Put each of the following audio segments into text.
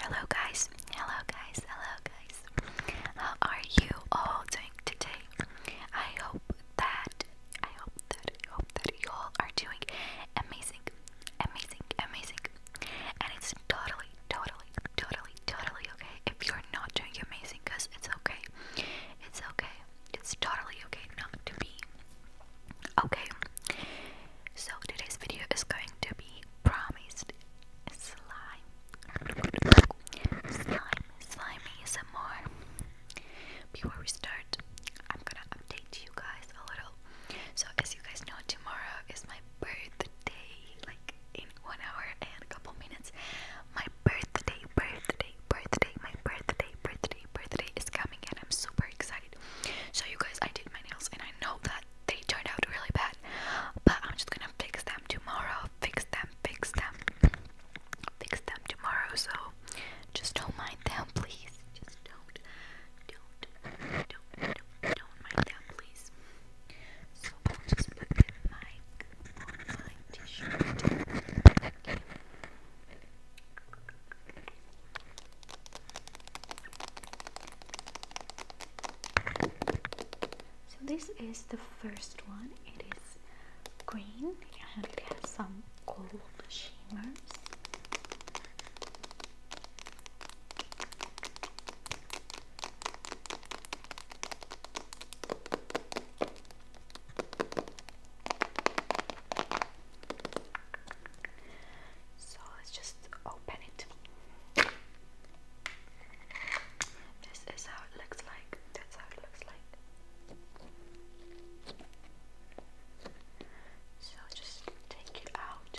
Hello guys, hello guys, hello guys. How are you all doing today? I hope that I hope that I hope that you all are doing amazing, amazing, amazing. And it's totally, totally, totally, totally okay if you're not doing amazing because it's okay. It's okay. It's totally okay not to be. Okay, so today's video is going to be promised slime. Slime, slimy some more. Before we start, I'm gonna update you guys a little. So, as you guys know, tomorrow is my birthday. Like in one hour and a couple minutes, my birthday, birthday birthday, my birthday, birthday, birthday is coming and I'm super excited. So you guys, I did my nails and I know that they turned out really bad, but I'm just gonna fix them tomorrow, fix them, fix them, fix them tomorrow. So just don't mind them, please. Just don't, don't, don't, don't, don't mind them, please. So I'll just put the mic on my t-shirt. So this is the first one. It is green and it has some gold shimmers. So let's just open it. This is how it looks like. That's how it looks like. So just take it out.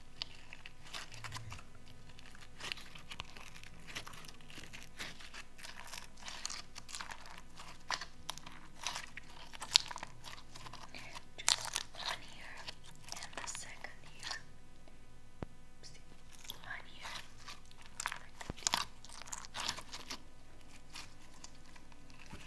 Just one here and the second here. Oopsie. One here. Like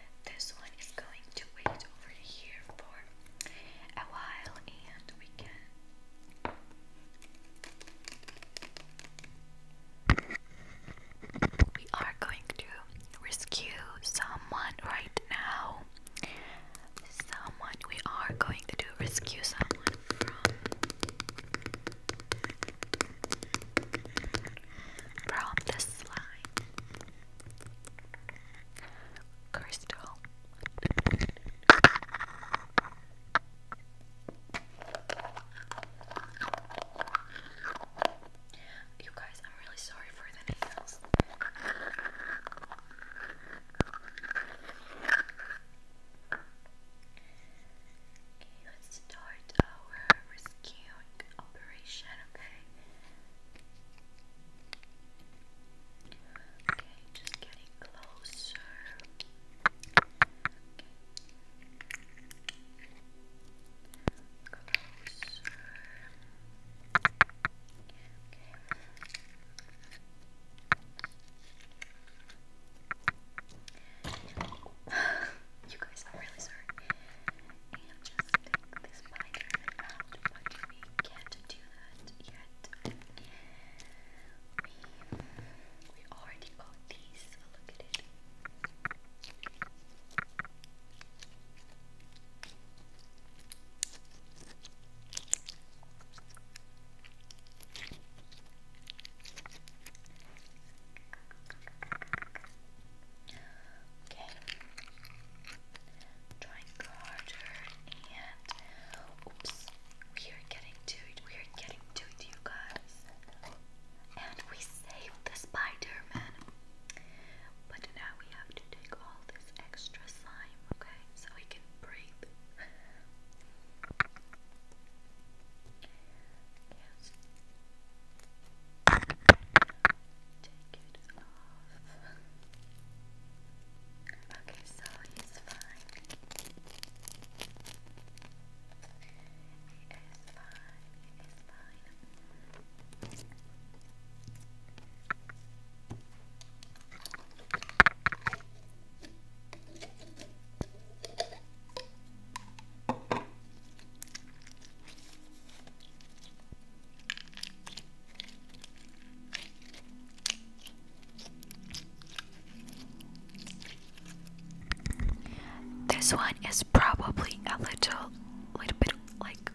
This one is going to wait over here for a while and we can. We are going to rescue someone right now. Someone, we are going to do rescue someone from from the slime crystal. You guys, I'm really sorry for the nails. Okay, let's start our rescue operation, okay? Okay, just getting closer. Okay. Closer. Okay. you guys, I'm really sorry and just take the spider out, but we can't do that yet. We, already got these, look at it. Okay. Trying harder and oops. We are getting to it. We are getting to it, you guys. And we saved the Spider-Man. But now we have to take all this extra slime, okay? So we can breathe. Yes. Take it off. Okay, so he's fine. He is fine. He is fine. This one is probably a little, little bit like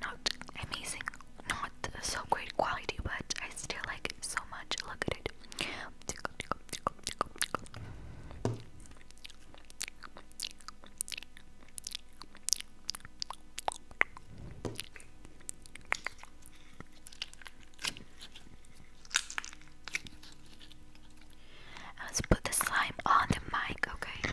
not amazing, not so great quality, but I still like so much. Look at it. Let's put the slime on the mic, okay?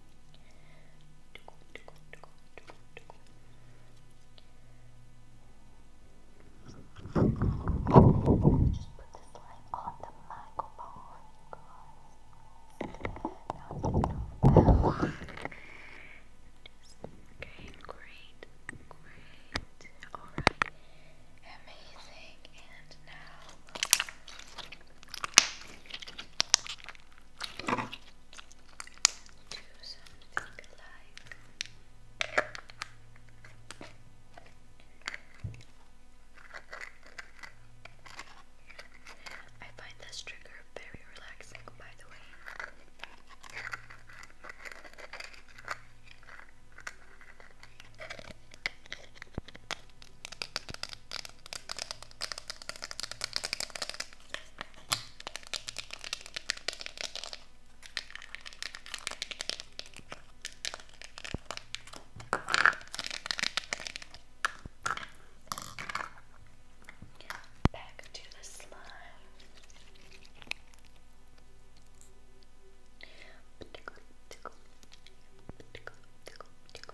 just put the slime on the microphone, guys. Now it's Okay, great, great, alright, amazing, and now do something I find this trigger very relaxing, by the way. Back to the slime. Tickle, tickle, tickle, tickle, tickle,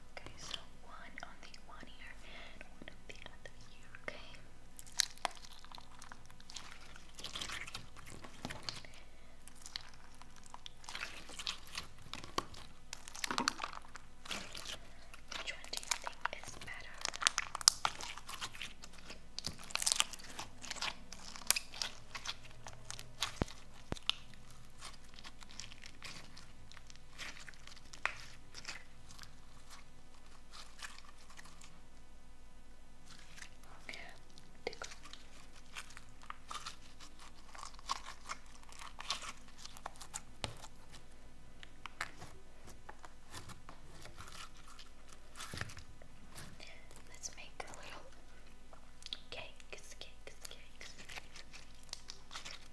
Okay, so one on the one ear and one on the other ear, okay? Which one do you think is better? Tickle. Let's make a little cakes,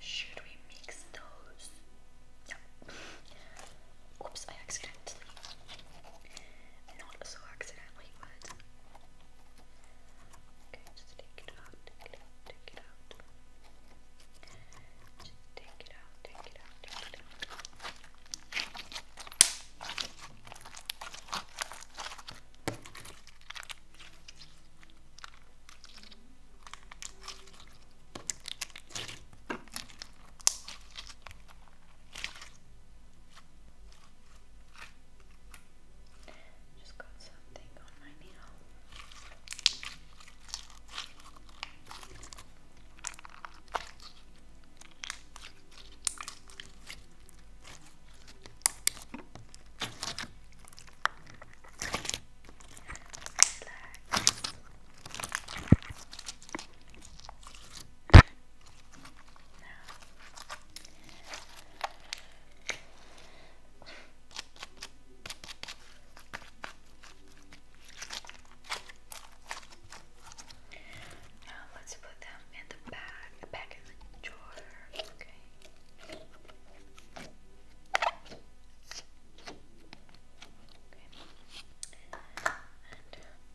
Should we mix those? Oops, I accidentally. Not so accidentally, take it out, take it out, take it out. take it out, take it out, take it out. Just got something on my nail. Now let's put them in the bag, back in the drawer. Okay. And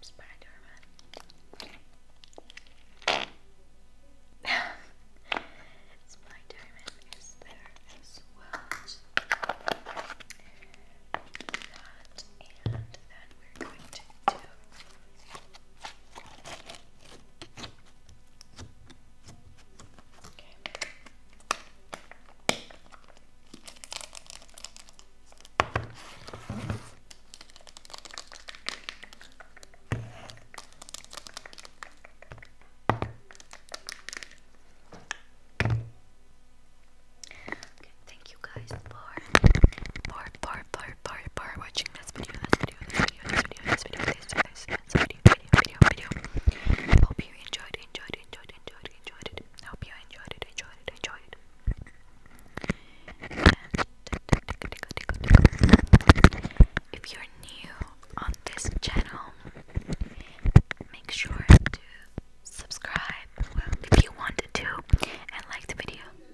spider is there as well. That and then we're going to do Okay. Okay, thank you guys for for for for bar, bar, watching this video, this video, this video, this video, this video, this video, this video, video, video, video. Hope you enjoyed, enjoyed, enjoyed, enjoyed, enjoyed it. Hope you enjoyed enjoyed enjoyed if you're new on this channel, make sure to subscribe if you wanted to and like the video.